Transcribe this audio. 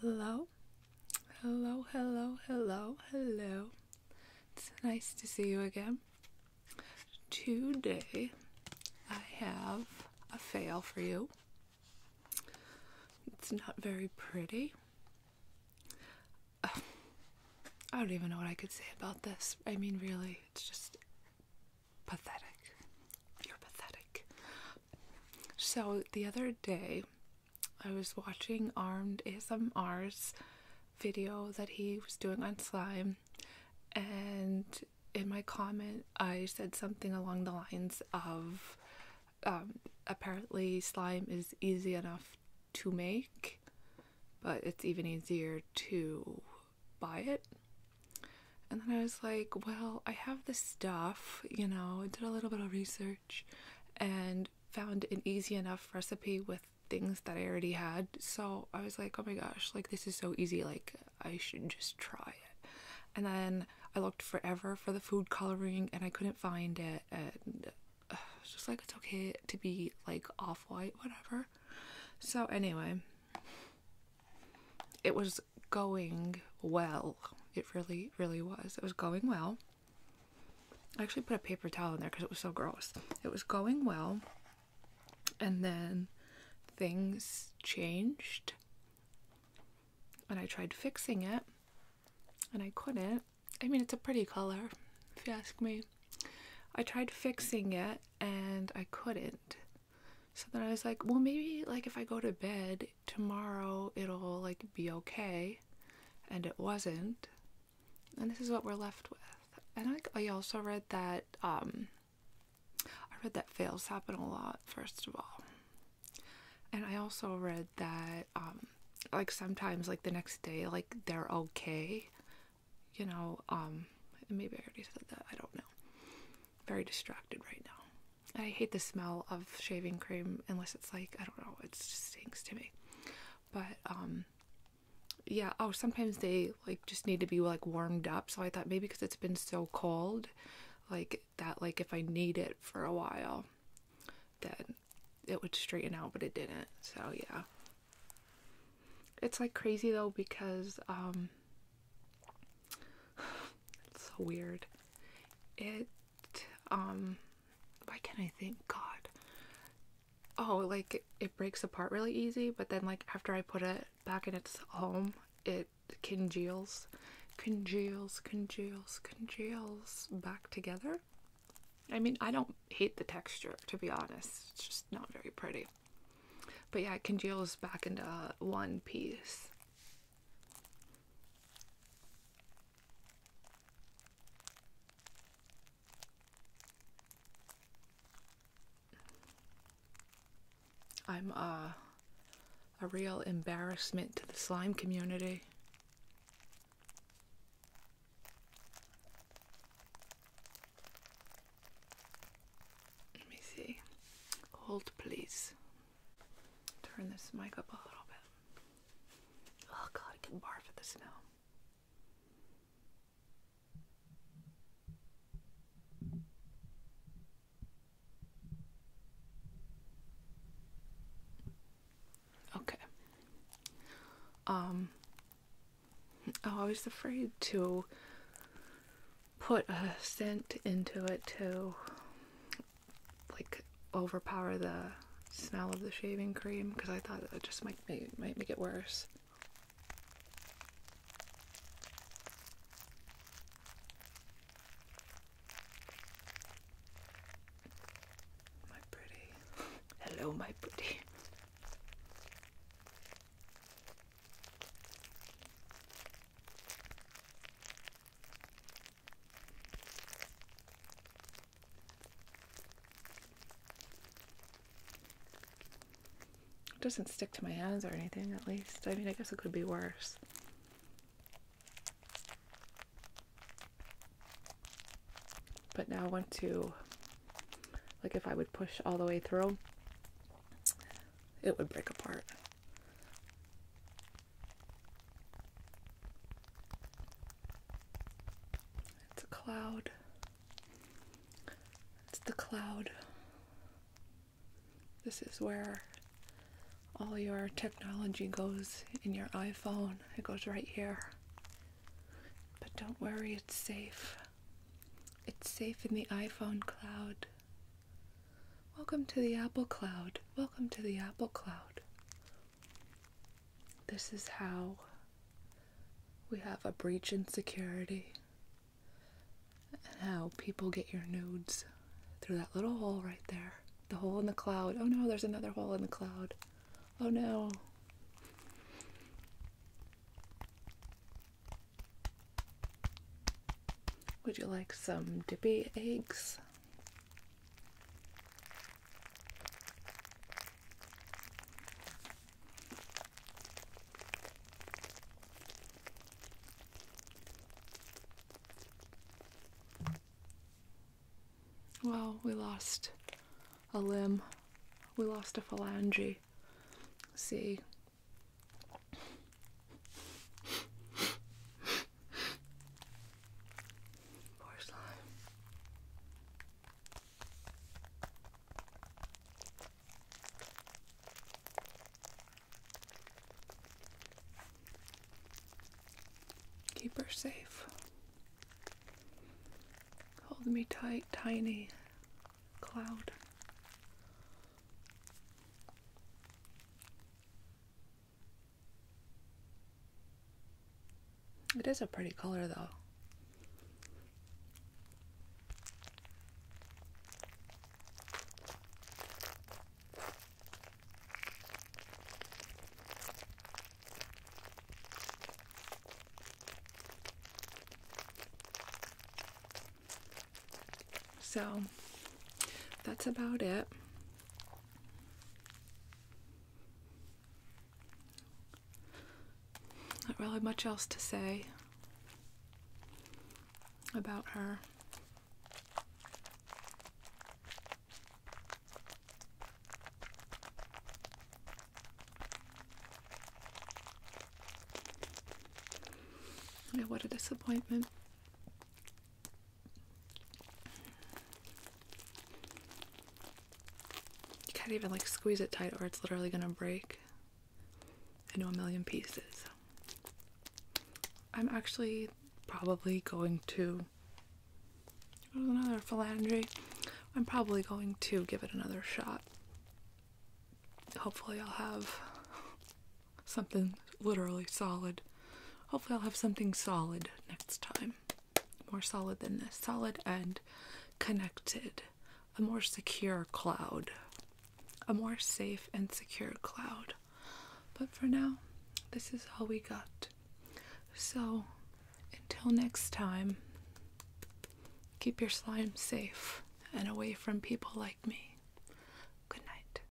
Hello, hello, hello, hello, hello. It's nice to see you again. Today I have a fail for you. It's not very pretty. I don't even know what I could say about this. I mean, really, it's just pathetic. You're pathetic. So the other day, I was watching Armed ASMR's video that he was doing on slime, and in my comment, I said something along the lines of um, apparently slime is easy enough to make, but it's even easier to buy it. And then I was like, well, I have this stuff you know, did a little bit of research and found an easy enough recipe with things that I already had. So I was like, oh my gosh, like this is so easy, like I should just try it. And then I looked forever for the food coloring and I couldn't find it. And uh, it's just like, it's okay to be like off white, whatever. So, anyway, it was going well. It really, really was. It was going well. I actually put a paper towel in there because it was so gross. It was going well, and then things changed, and I tried fixing it, and I couldn't. I mean, it's a pretty color, if you ask me. I tried fixing it, and I couldn't. So then I was like, well, maybe like if I go to bed tomorrow it'll like be okay and it wasn't and this is what we're left with and i, I also read that um i read that fails happen a lot first of all and i also read that um like sometimes like the next day like they're okay you know um maybe i already said that i don't know very distracted right now I hate the smell of shaving cream unless it's like I don't know, it stinks to me. But um yeah, oh sometimes they like just need to be like warmed up. So I thought maybe because it's been so cold like that like if I need it for a while then it would straighten out, but it didn't. So yeah. It's like crazy though because um it's so weird. It um why can't I thank God. Oh, like it breaks apart really easy, but then like after I put it back in its home, it congeals, congeals, congeals, congeals back together. I mean, I don't hate the texture, to be honest. It's just not very pretty. But yeah, it congeals back into uh, one piece. I'm uh, a real embarrassment to the slime community. Let me see. Hold, please. Turn this mic up a little bit. Oh god, I can barf at the snow. Okay. Um oh, I was afraid to put a scent into it too like overpower the smell of the shaving cream because I thought it just might make, might make it worse. My pretty. Hello, my pretty. It doesn't stick to my hands or anything, at least. I mean, I guess it could be worse. But now I want to, like, if I would push all the way through, it would break apart. It's a cloud. It's the cloud. This is where all your technology goes in your iPhone. It goes right here. But don't worry, it's safe. It's safe in the iPhone cloud. Welcome to the Apple Cloud. Welcome to the Apple Cloud. This is how we have a breach in security and how people get your nudes through that little hole right there. The hole in the cloud. Oh no, there's another hole in the cloud. Oh no. Would you like some dippy eggs? Well, we lost a limb. We lost a phalange. See, more slime. Keep her safe. Hold me tight, tiny cloud. It is a pretty color, though. So that's about it. Not really much else to say about her. what a disappointment. You can't even like squeeze it tight or it's literally gonna break into a million pieces. I'm actually probably going to another philandry. I'm probably going to give it another shot. Hopefully I'll have something literally solid. Hopefully, I'll have something solid next time. More solid than this. Solid and connected. A more secure cloud. A more safe and secure cloud. But for now, this is all we got. So, until next time, keep your slime safe and away from people like me. Good night.